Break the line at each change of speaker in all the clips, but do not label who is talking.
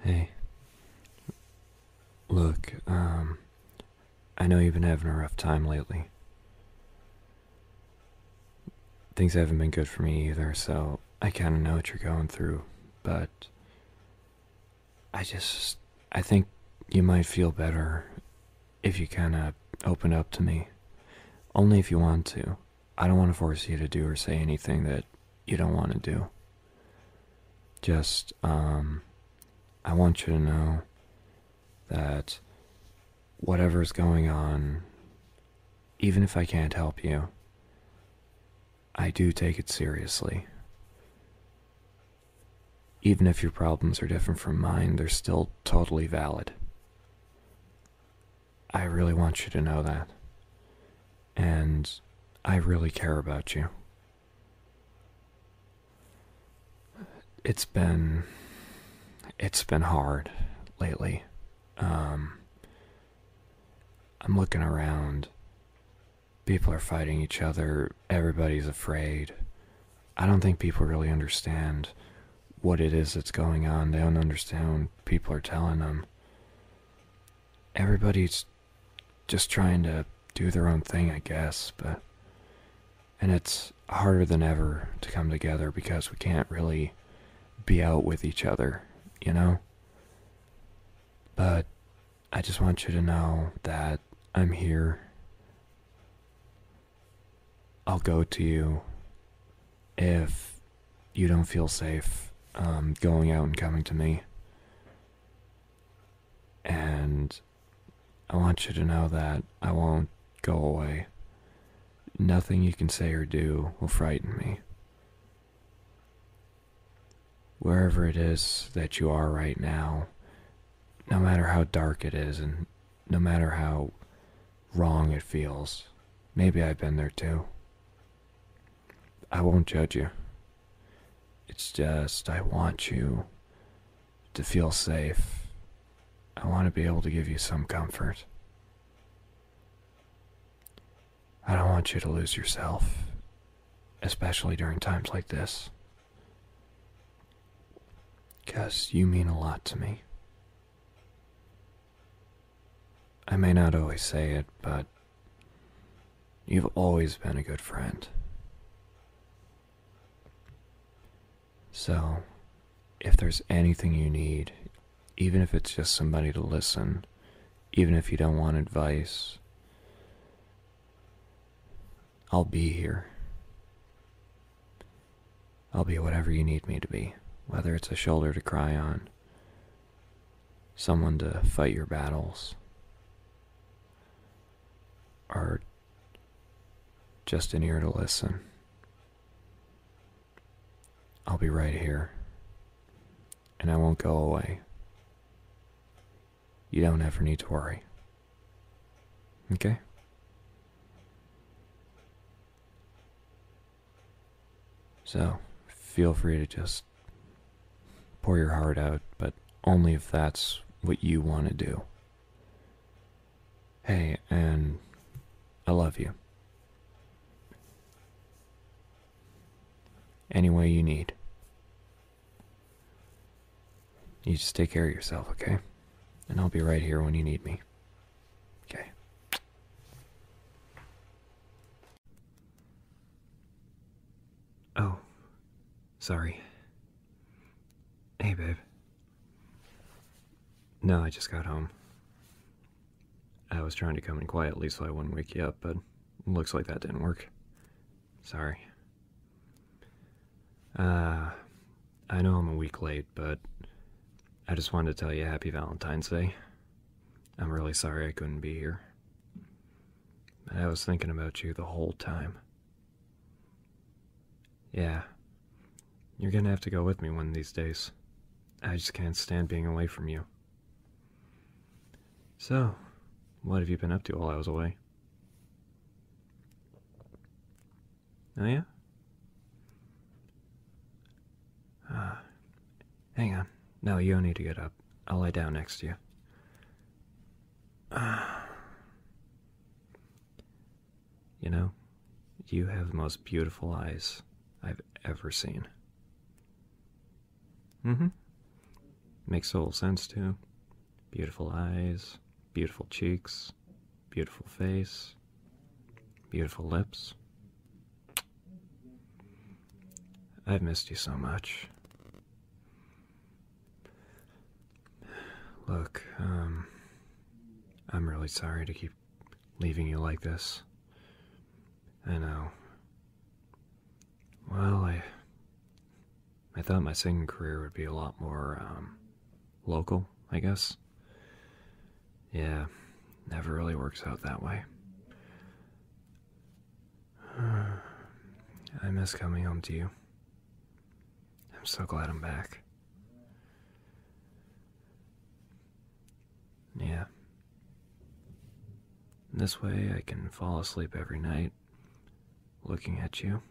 Hey. Look, um, I know you've been having a rough time lately. Things haven't been good for me either, so I kind of know what you're going through, but I just, I think you might feel better if you kind of open up to me. Only if you want to. I don't want to force you to do or say anything that you don't want to do. Just, um, I want you to know that whatever's going on, even if I can't help you, I do take it seriously. Even if your problems are different from mine, they're still totally valid. I really want you to know that and I really care about you. It's been it's been hard lately. Um, I'm looking around. People are fighting each other. Everybody's afraid. I don't think people really understand what it is that's going on. They don't understand people are telling them. Everybody's just trying to do their own thing, I guess, but and it's harder than ever to come together because we can't really be out with each other, you know? But I just want you to know that I'm here. I'll go to you if you don't feel safe um, going out and coming to me. And I want you to know that I won't go away. Nothing you can say or do will frighten me. Wherever it is that you are right now, no matter how dark it is and no matter how wrong it feels, maybe I've been there too. I won't judge you. It's just I want you to feel safe. I want to be able to give you some comfort. I don't want you to lose yourself, especially during times like this. Because you mean a lot to me. I may not always say it, but you've always been a good friend. So, if there's anything you need, even if it's just somebody to listen, even if you don't want advice, I'll be here. I'll be whatever you need me to be, whether it's a shoulder to cry on, someone to fight your battles or just an ear to listen. I'll be right here and I won't go away. You don't ever need to worry. Okay? So feel free to just pour your heart out, but only if that's what you want to do. Hey, and I love you. Any way you need. You just take care of yourself, okay? And I'll be right here when you need me. Okay. Oh, sorry. Hey, babe. No, I just got home. I was trying to come in quietly so I wouldn't wake you up, but looks like that didn't work. Sorry. Uh, I know I'm a week late, but I just wanted to tell you Happy Valentine's Day. I'm really sorry I couldn't be here. I was thinking about you the whole time. Yeah. You're gonna have to go with me one of these days. I just can't stand being away from you. So, what have you been up to while I was away? Oh, yeah? Ah. Hang on. No, you don't need to get up. I'll lie down next to you. you know, you have the most beautiful eyes I've ever seen. Mm hmm. Makes a little sense, too. Beautiful eyes, beautiful cheeks, beautiful face, beautiful lips. I've missed you so much. Look, um, I'm really sorry to keep leaving you like this. I know. Well, I, I thought my singing career would be a lot more, um, local, I guess. Yeah, never really works out that way. I miss coming home to you. I'm so glad I'm back. Yeah. This way I can fall asleep every night looking at you.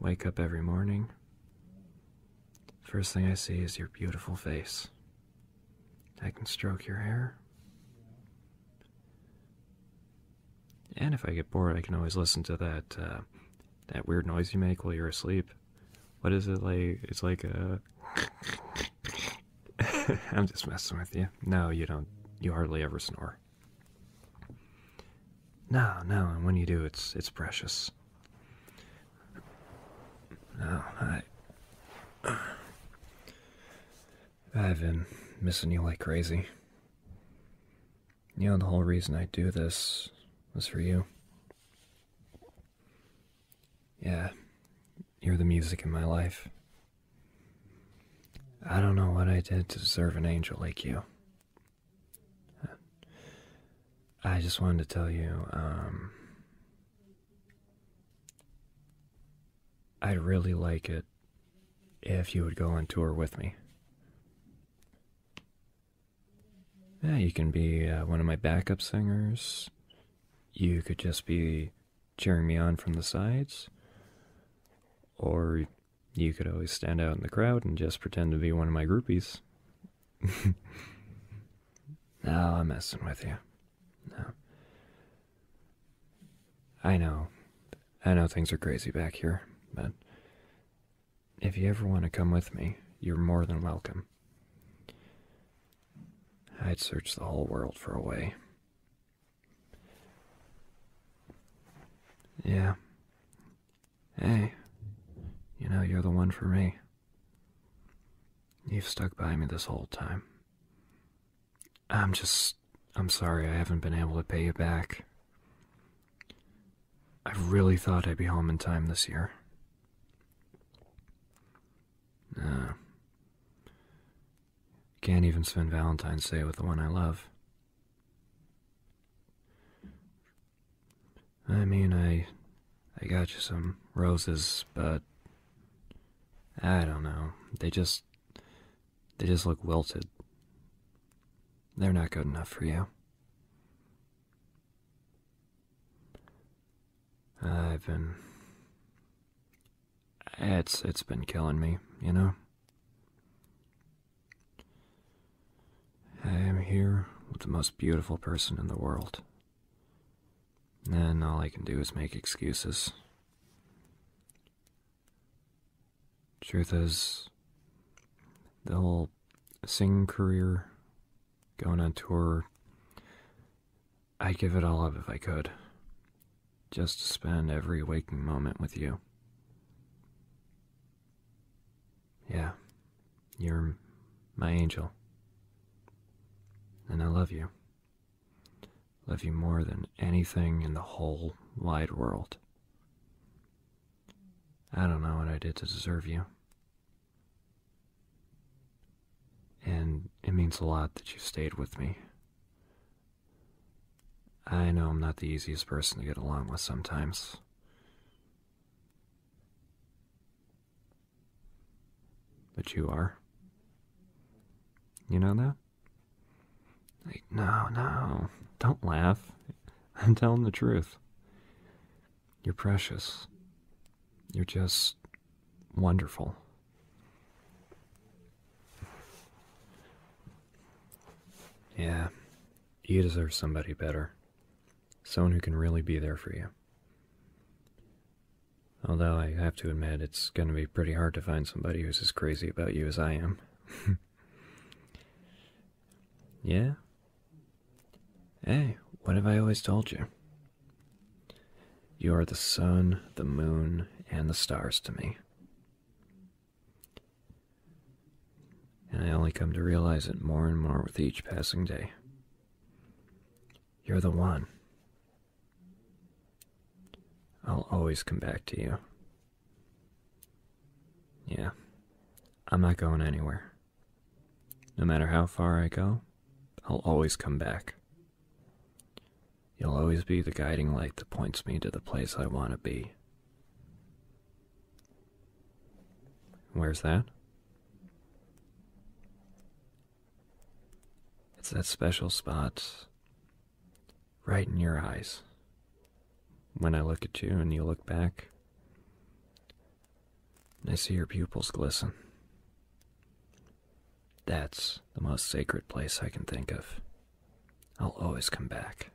Wake up every morning. First thing I see is your beautiful face I can stroke your hair. And if I get bored, I can always listen to that uh, that weird noise you make while you're asleep. What is it like? It's like a. I'm just messing with you. No, you don't. You hardly ever snore. No, no, and when you do, it's it's precious. No, I. I've been missing you like crazy. You know, the whole reason I do this was for you. Yeah, you're the music in my life. I don't know what I did to deserve an angel like you. I just wanted to tell you, um, I'd really like it if you would go on tour with me. Yeah, you can be uh, one of my backup singers. You could just be cheering me on from the sides. Or you could always stand out in the crowd and just pretend to be one of my groupies. Now I'm messing with you. No. I know. I know things are crazy back here, but if you ever want to come with me, you're more than welcome. I'd search the whole world for a way. Yeah. Hey, you know, you're the one for me. You've stuck by me this whole time. I'm just. I'm sorry I haven't been able to pay you back. I really thought I'd be home in time this year. Uh, can't even spend Valentine's Day with the one I love. I mean, I. I got you some roses, but I don't know. They just they just look wilted. They're not good enough for you. I've been it's it's been killing me, you know. I am here with the most beautiful person in the world and all I can do is make excuses. Truth is, the whole singing career, going on tour, I'd give it all up if I could. Just spend every waking moment with you. Yeah, you're my angel. And I love you. Love you more than anything in the whole wide world. I don't know what I did to deserve you. And it means a lot that you stayed with me. I know I'm not the easiest person to get along with sometimes. But you are. You know that? no, no. Don't laugh. I'm telling the truth. You're precious. You're just wonderful. Yeah, you deserve somebody better. Someone who can really be there for you. Although I have to admit, it's going to be pretty hard to find somebody who's as crazy about you as I am. yeah? Hey, what have I always told you? You are the sun, the moon, and the stars to me. And I only come to realize it more and more with each passing day. You're the one. I'll always come back to you. Yeah, I'm not going anywhere. No matter how far I go, I'll always come back. You'll always be the guiding light that points me to the place I want to be. Where's that? It's that special spot right in your eyes. When I look at you and you look back, I see your pupils glisten. That's the most sacred place I can think of. I'll always come back.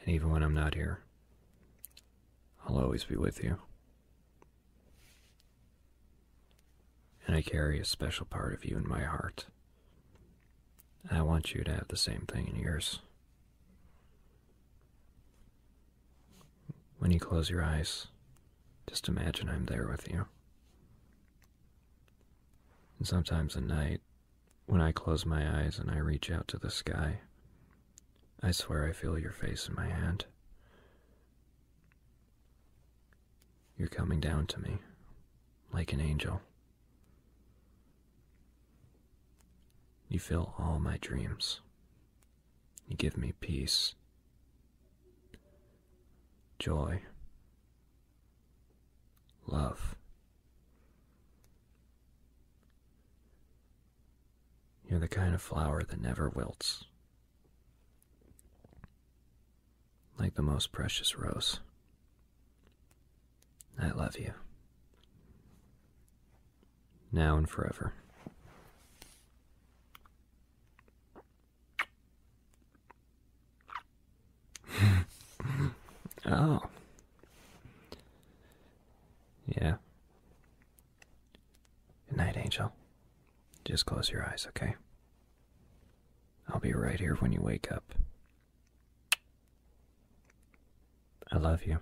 And even when I'm not here, I'll always be with you. And I carry a special part of you in my heart. I want you to have the same thing in yours. When you close your eyes, just imagine I'm there with you. And sometimes at night, when I close my eyes and I reach out to the sky, I swear I feel your face in my hand. You're coming down to me like an angel. You fill all my dreams. You give me peace, joy, love. You're the kind of flower that never wilts, like the most precious rose. I love you. Now and forever. oh. Yeah. Good night, Angel. Just close your eyes, okay? I'll be right here when you wake up. I love you.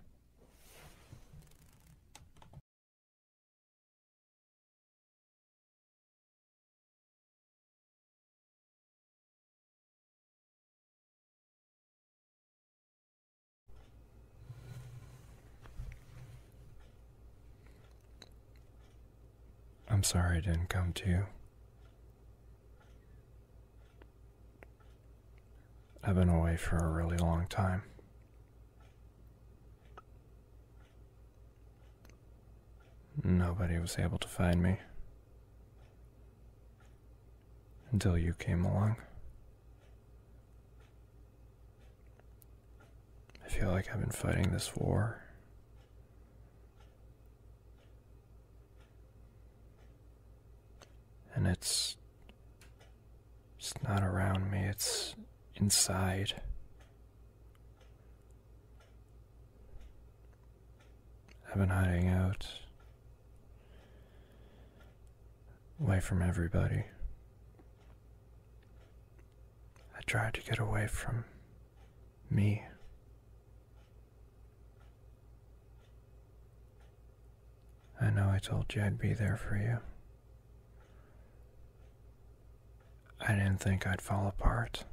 I'm sorry I didn't come to you. I've been away for a really long time. Nobody was able to find me until you came along. I feel like I've been fighting this war. And it's it's not around me, it's inside. I've been hiding out away from everybody. I tried to get away from me. I know I told you I'd be there for you. I didn't think I'd fall apart.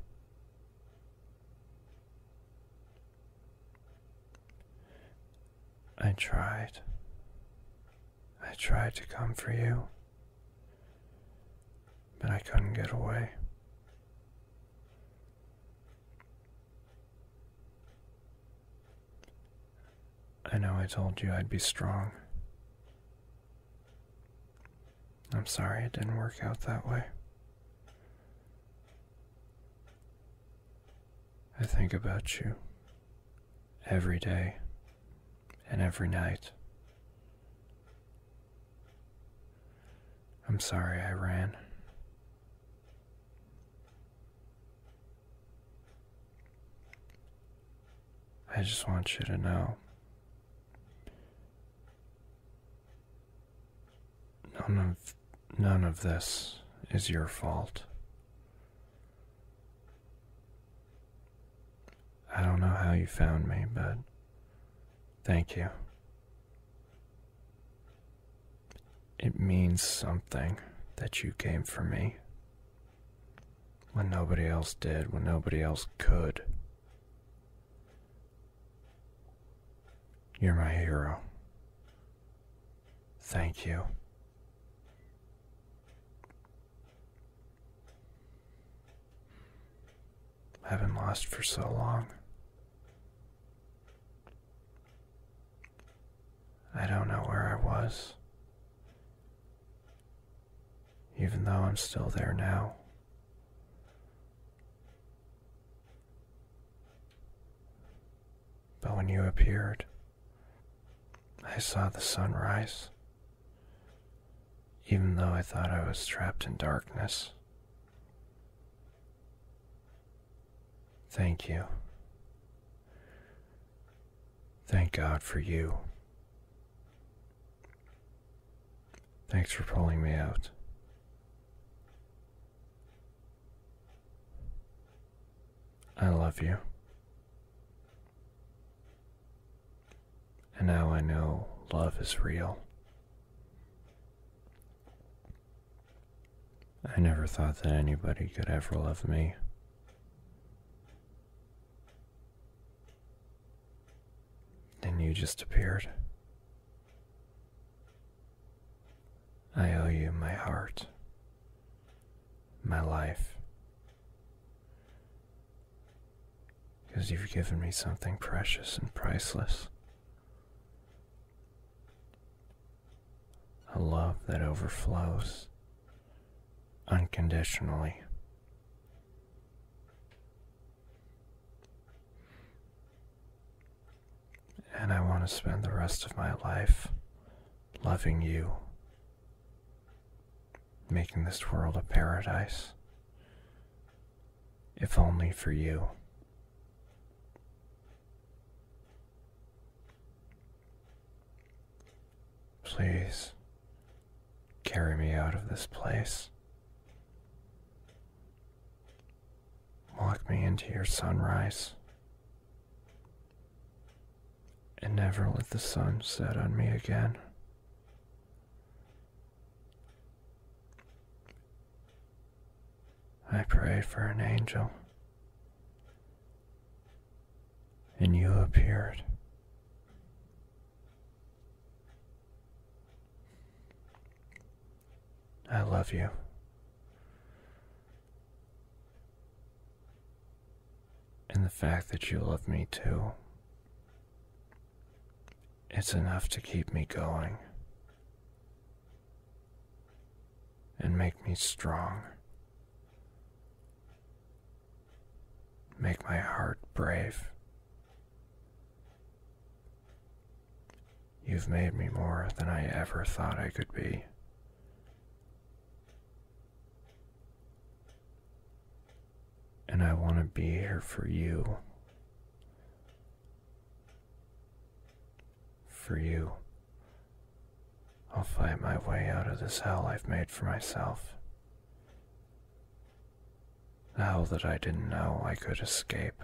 I tried. I tried to come for you. But I couldn't get away. I know I told you I'd be strong. I'm sorry it didn't work out that way. I think about you every day and every night. I'm sorry I ran. I just want you to know. None of none of this is your fault. I don't know how you found me, but thank you. It means something that you came for me when nobody else did, when nobody else could. You're my hero. Thank you. I've not lost for so long. I don't know where I was, even though I'm still there now. But when you appeared, I saw the sunrise even though I thought I was trapped in darkness. Thank you. Thank God for you. Thanks for pulling me out. I love you. And now I know love is real. I never thought that anybody could ever love me. And you just appeared. I owe you my heart, my life, because you've given me something precious and priceless. A love that overflows unconditionally. And I want to spend the rest of my life loving you making this world a paradise. If only for you. Please carry me out of this place. Walk me into your sunrise. And never let the sun set on me again. I prayed for an angel, and you appeared. I love you. And the fact that you love me too it's enough to keep me going and make me strong. Make my heart brave. You've made me more than I ever thought I could be and I want to be here for you. For you. I'll fight my way out of this hell I've made for myself. The hell that I didn't know I could escape.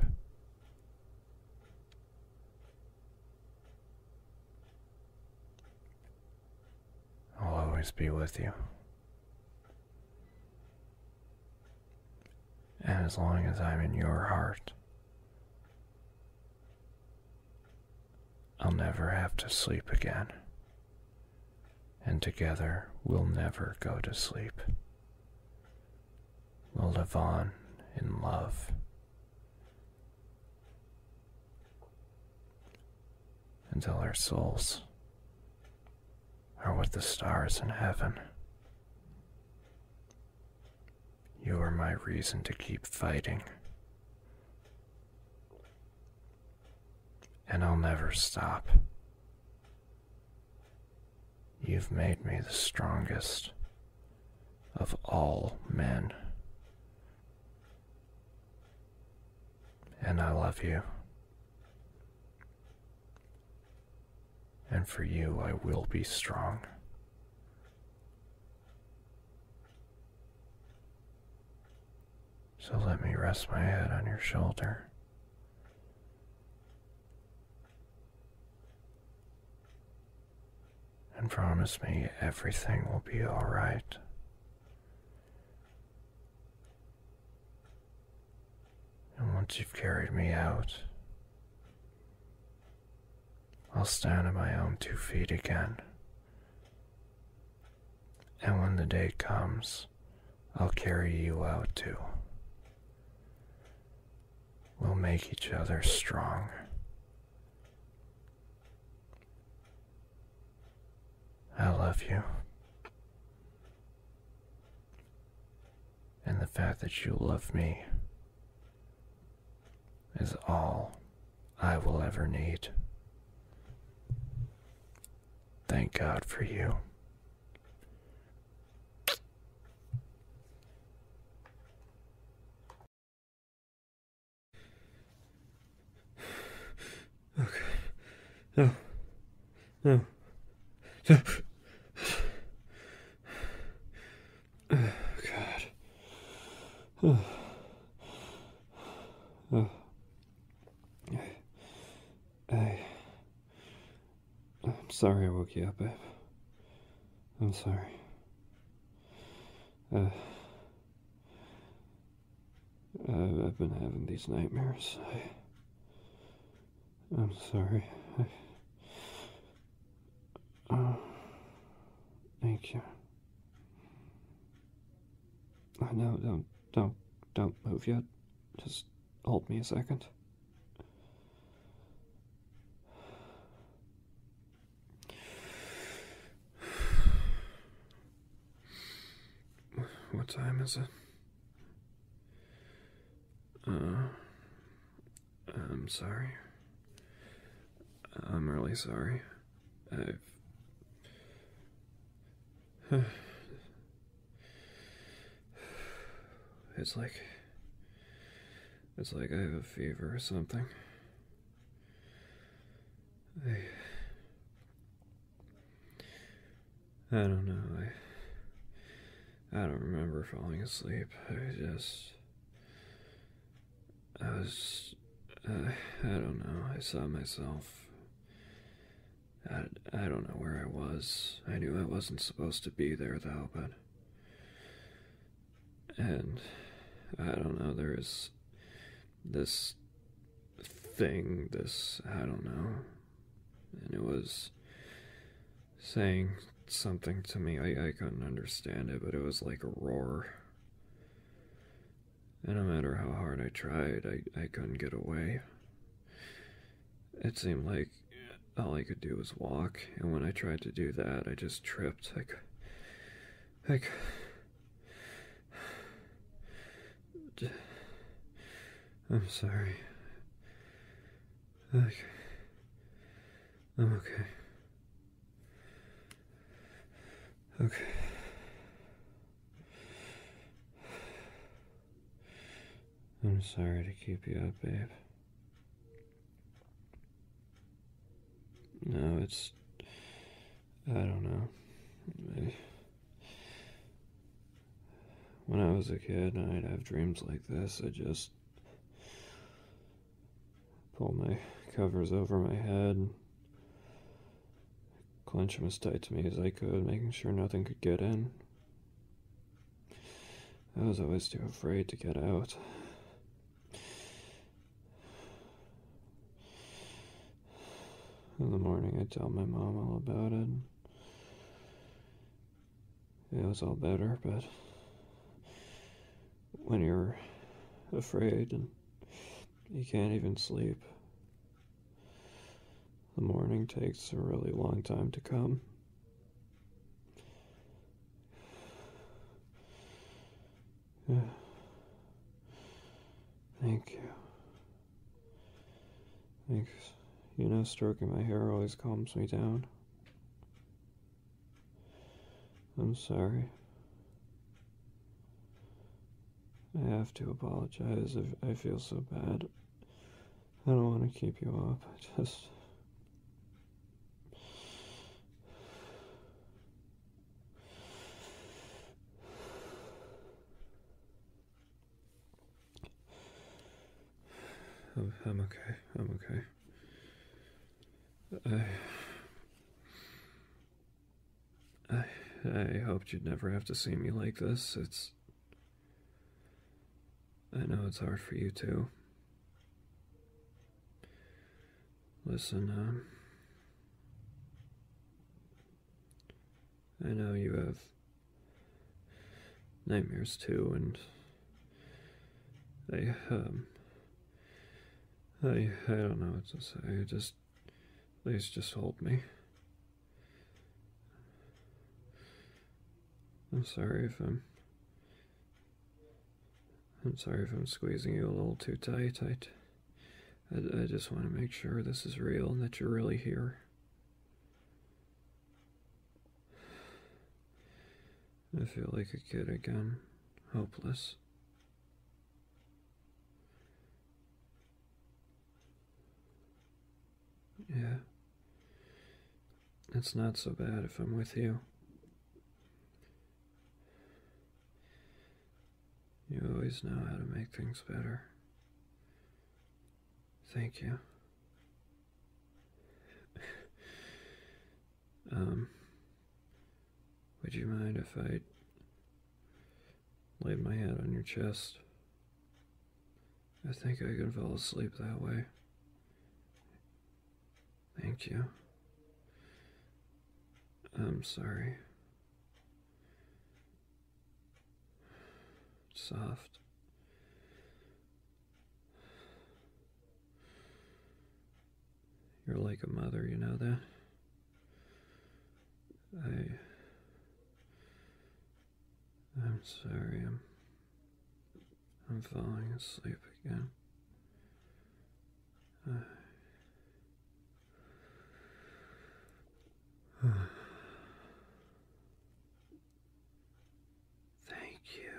I'll always be with you. And as long as I'm in your heart, I'll never have to sleep again. And together we'll never go to sleep. We'll live on in love until our souls are with the stars in heaven. You are my reason to keep fighting. And I'll never stop. You've made me the strongest of all men. And I love you. And for you, I will be strong. So let me rest my head on your shoulder. And promise me everything will be alright. And once you've carried me out, I'll stand on my own two feet again. And when the day comes, I'll carry you out too. We'll make each other strong. I love you. And the fact that you love me is all I will ever need. Thank God for you. Okay. No. No. no. Oh, God. Oh. Oh. I. I'm sorry I woke you up, babe. I'm sorry. Uh, uh, I've, been having these nightmares. I, am sorry. Uh, thank you. I know. Don't, don't, don't move yet. Just hold me a second. What time is it? Uh, I'm sorry. I'm really sorry. I've. It's like. It's like I have a fever or something. I don't know. I, I don't remember falling asleep. I just. I was. Uh, I don't know. I saw myself. I, I don't know where I was. I knew I wasn't supposed to be there, though, but. And. I don't know. There is. This thing, this, I don't know. And it was saying something to me. I, I couldn't understand it, but it was like a roar. And no matter how hard I tried, I, I couldn't get away. It seemed like all I could do was walk, and when I tried to do that, I just tripped. Like, like, I'm sorry. Okay. I'm okay. Okay. I'm sorry to keep you up, babe. No, it's. I don't know when I was a kid and I'd have dreams like this, I just pulled my covers over my head, clench them as tight to me as I could, making sure nothing could get in. I was always too afraid to get out. In the morning, I tell my mom all about it. It was all better, but when you're afraid and you can't even sleep, the morning takes a really long time to come. Thank you. Thanks. You know, stroking my hair always calms me down. I'm sorry. I have to apologize I feel so bad. I don't want to keep you up. I just. I'm, okay. I'm okay. I, I hoped you'd never have to see me like this. It's I know it's hard for you too. Listen, um, I know you have nightmares too, and um, I, I, don't know what to say. Just, please just hold me. I'm sorry if I'm, I'm sorry if I'm squeezing you a little too tight. I, I just want to make sure this is real and that you're really here. I feel like a kid again, hopeless. Yeah. It's not so bad if I'm with you. You always know how to make things better. Thank you. Um, would you mind if I laid my head on your chest? I think I could fall asleep that way. Thank you. I'm sorry soft. You're like a mother, you know that? I. I'm sorry, I'm. I'm falling asleep again. Thank you.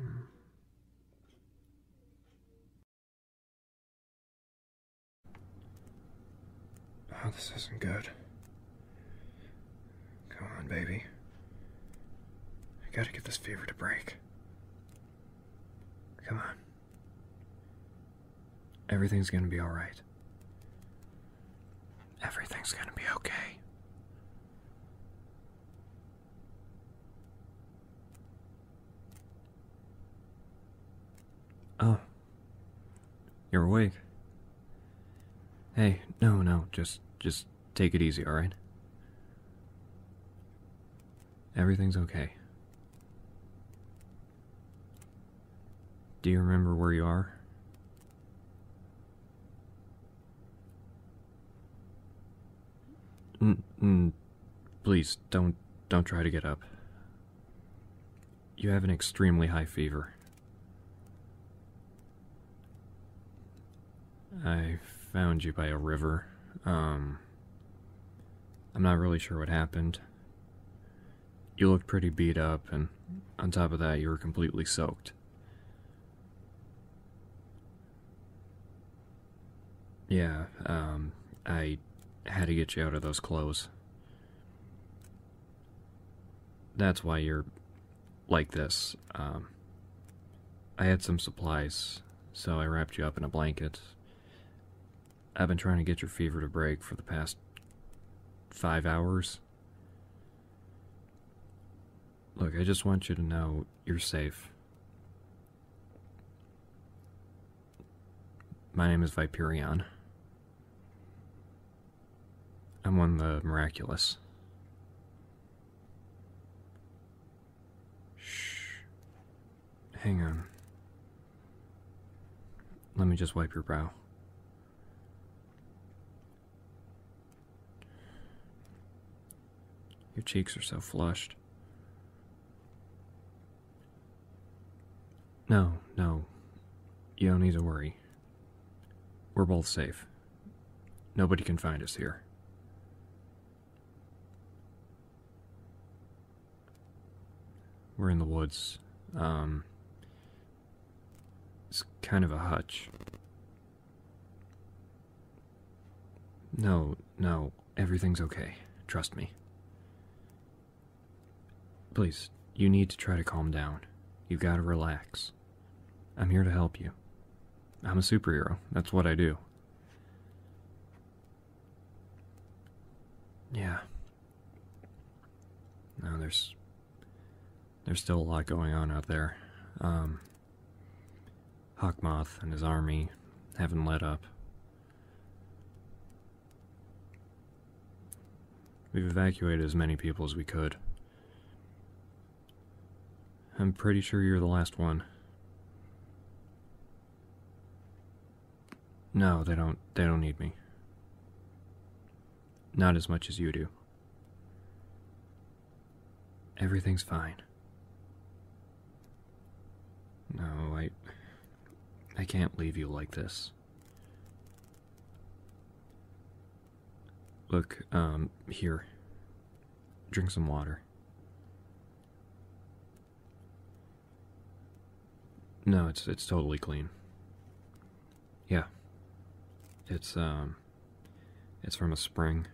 Mm. Oh, this isn't good. Come on, baby. I gotta get this fever to break. Come on. Everything's gonna be alright. Everything's gonna be okay. Oh. You're awake. Hey, no, no, just just take it easy, all right? Everything's okay. Do you remember where you are? N -n please don't don't try to get up. You have an extremely high fever. I found you by a river. Um I'm not really sure what happened. You looked pretty beat up, and on top of that, you were completely soaked. Yeah, um, I had to get you out of those clothes. That's why you're like this. Um, I had some supplies, so I wrapped you up in a blanket. I've been trying to get your fever to break for the past five hours. Look, I just want you to know you're safe. My name is Viperion. I'm one of the miraculous. Shh. Hang on. Let me just wipe your brow. Your cheeks are so flushed. No, no. You don't need to worry. We're both safe. Nobody can find us here. We're in the woods. Um, it's kind of a hutch. No, no, everything's okay. Trust me. Please, you need to try to calm down. You gotta relax. I'm here to help you. I'm a superhero. That's what I do. Yeah, now there's there's still a lot going on out there. Um, Hawkmoth and his army haven't let up. We've evacuated as many people as we could. I'm pretty sure you're the last one. No, they don't they don't need me. Not as much as you do. Everything's fine. No, I I can't leave you like this. Look, um, here. Drink some water. No, it's it's totally clean. Yeah. It's um it's from a spring.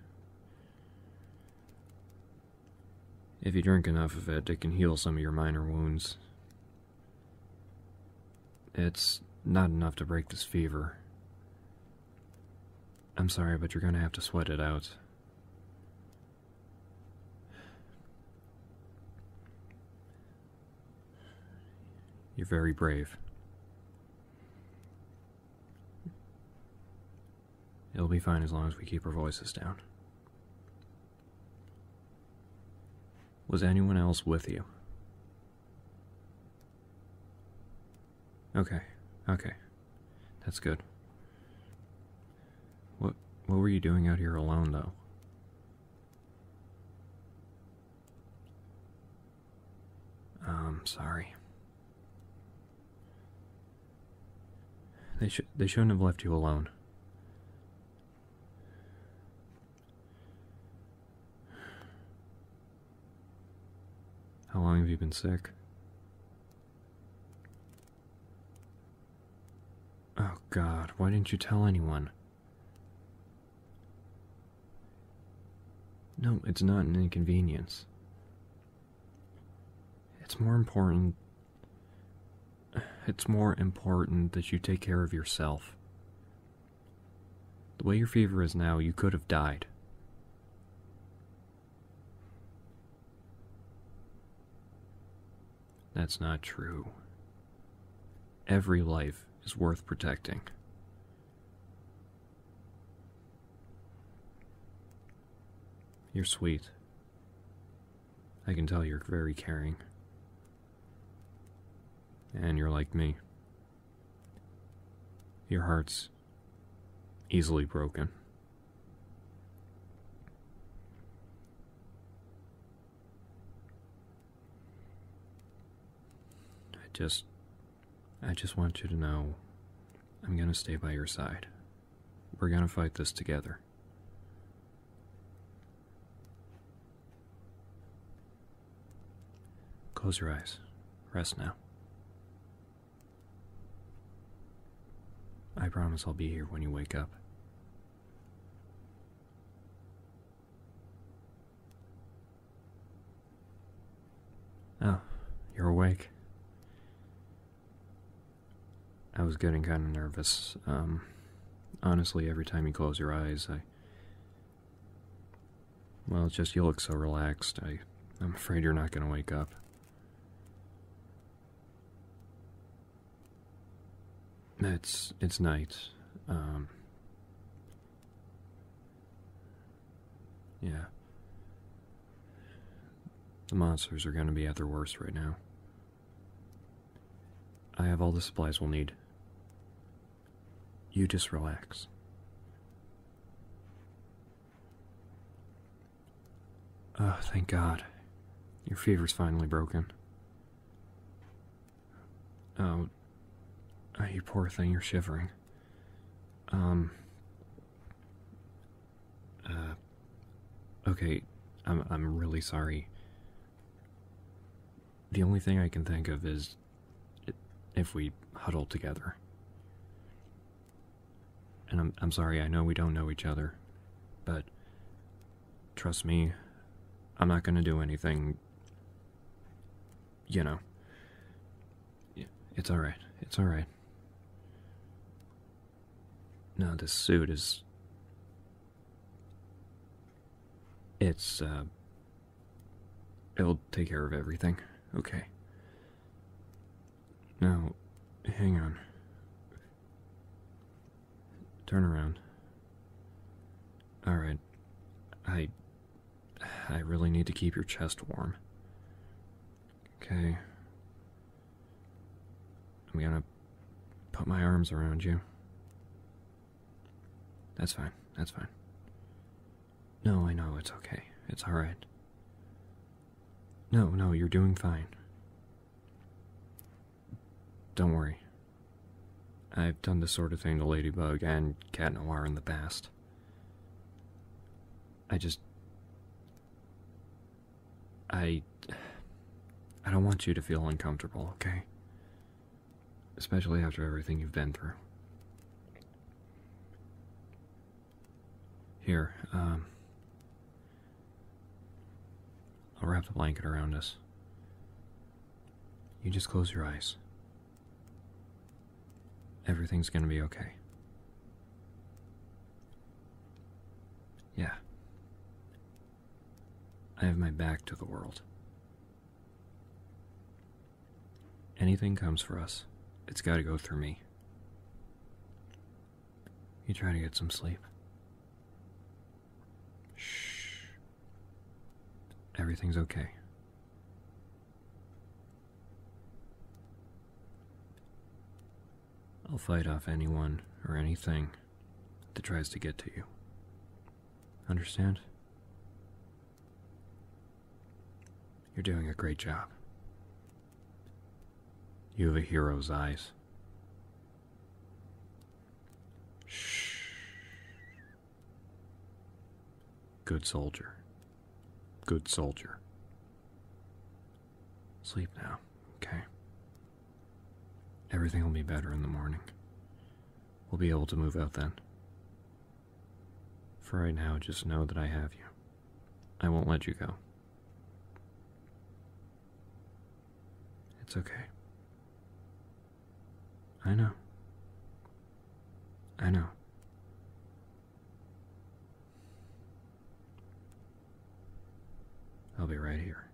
If you drink enough of it, it can heal some of your minor wounds. It's not enough to break this fever. I'm sorry, but you're gonna have to sweat it out. You're very brave. It'll be fine as long as we keep our voices down. Was anyone else with you? Okay, okay. That's good. What what were you doing out here alone though? I'm um, sorry. They should they shouldn't have left you alone. How long have you been sick? Oh god, why didn't you tell anyone? No, it's not an inconvenience. It's more important. It's more important that you take care of yourself. The way your fever is now, you could have died. That's not true. Every life is worth protecting. You're sweet. I can tell you're very caring. And you're like me. Your heart's easily broken. I just I just want you to know I'm going to stay by your side. We're going to fight this together. Close your eyes. Rest now. I promise I'll be here when you wake up. Oh, you're awake. I was getting kind of nervous. Um, honestly, every time you close your eyes, I. Well, it's just you look so relaxed. I, I'm afraid you're not going to wake up. It's it's night. Um, yeah. The monsters are going to be at their worst right now. I have all the supplies we'll need. You just relax. Oh, thank God. Your fever's finally broken. Oh, you poor thing, you're shivering. Um. Uh. Okay, I'm I'm really sorry. The only thing I can think of is if we huddle together. And I'm I'm sorry, I know we don't know each other, but Trust me, I'm not gonna do anything. You know. It's alright. It's alright. Now this suit is. It's, uh. It'll take care of everything. Okay. Now, hang on. Turn around. Alright. I. I really need to keep your chest warm. Okay. I'm gonna put my arms around you. That's fine. That's fine. No, I know. It's okay. It's alright. No, no, you're doing fine. Don't worry. I've done this sort of thing to Ladybug and Cat Noir in the past. I just. I. I don't want you to feel uncomfortable, okay? Especially after everything you've been through. Here, um. I'll wrap the blanket around us. You just close your eyes. Everything's going to be okay. Yeah. I have my back to the world. Anything comes for us, it's got to go through me. You try to get some sleep. Shh. Everything's okay. I'll fight off anyone or anything that tries to get to you. Understand? You're doing a great job. You have a hero's eyes. Shh. Good soldier. Good soldier. Sleep now, okay? Everything will be better in the morning. We'll be able to move out then. For right now, just know that I have you. I won't let you go. It's okay. I know. I know. I'll be right here.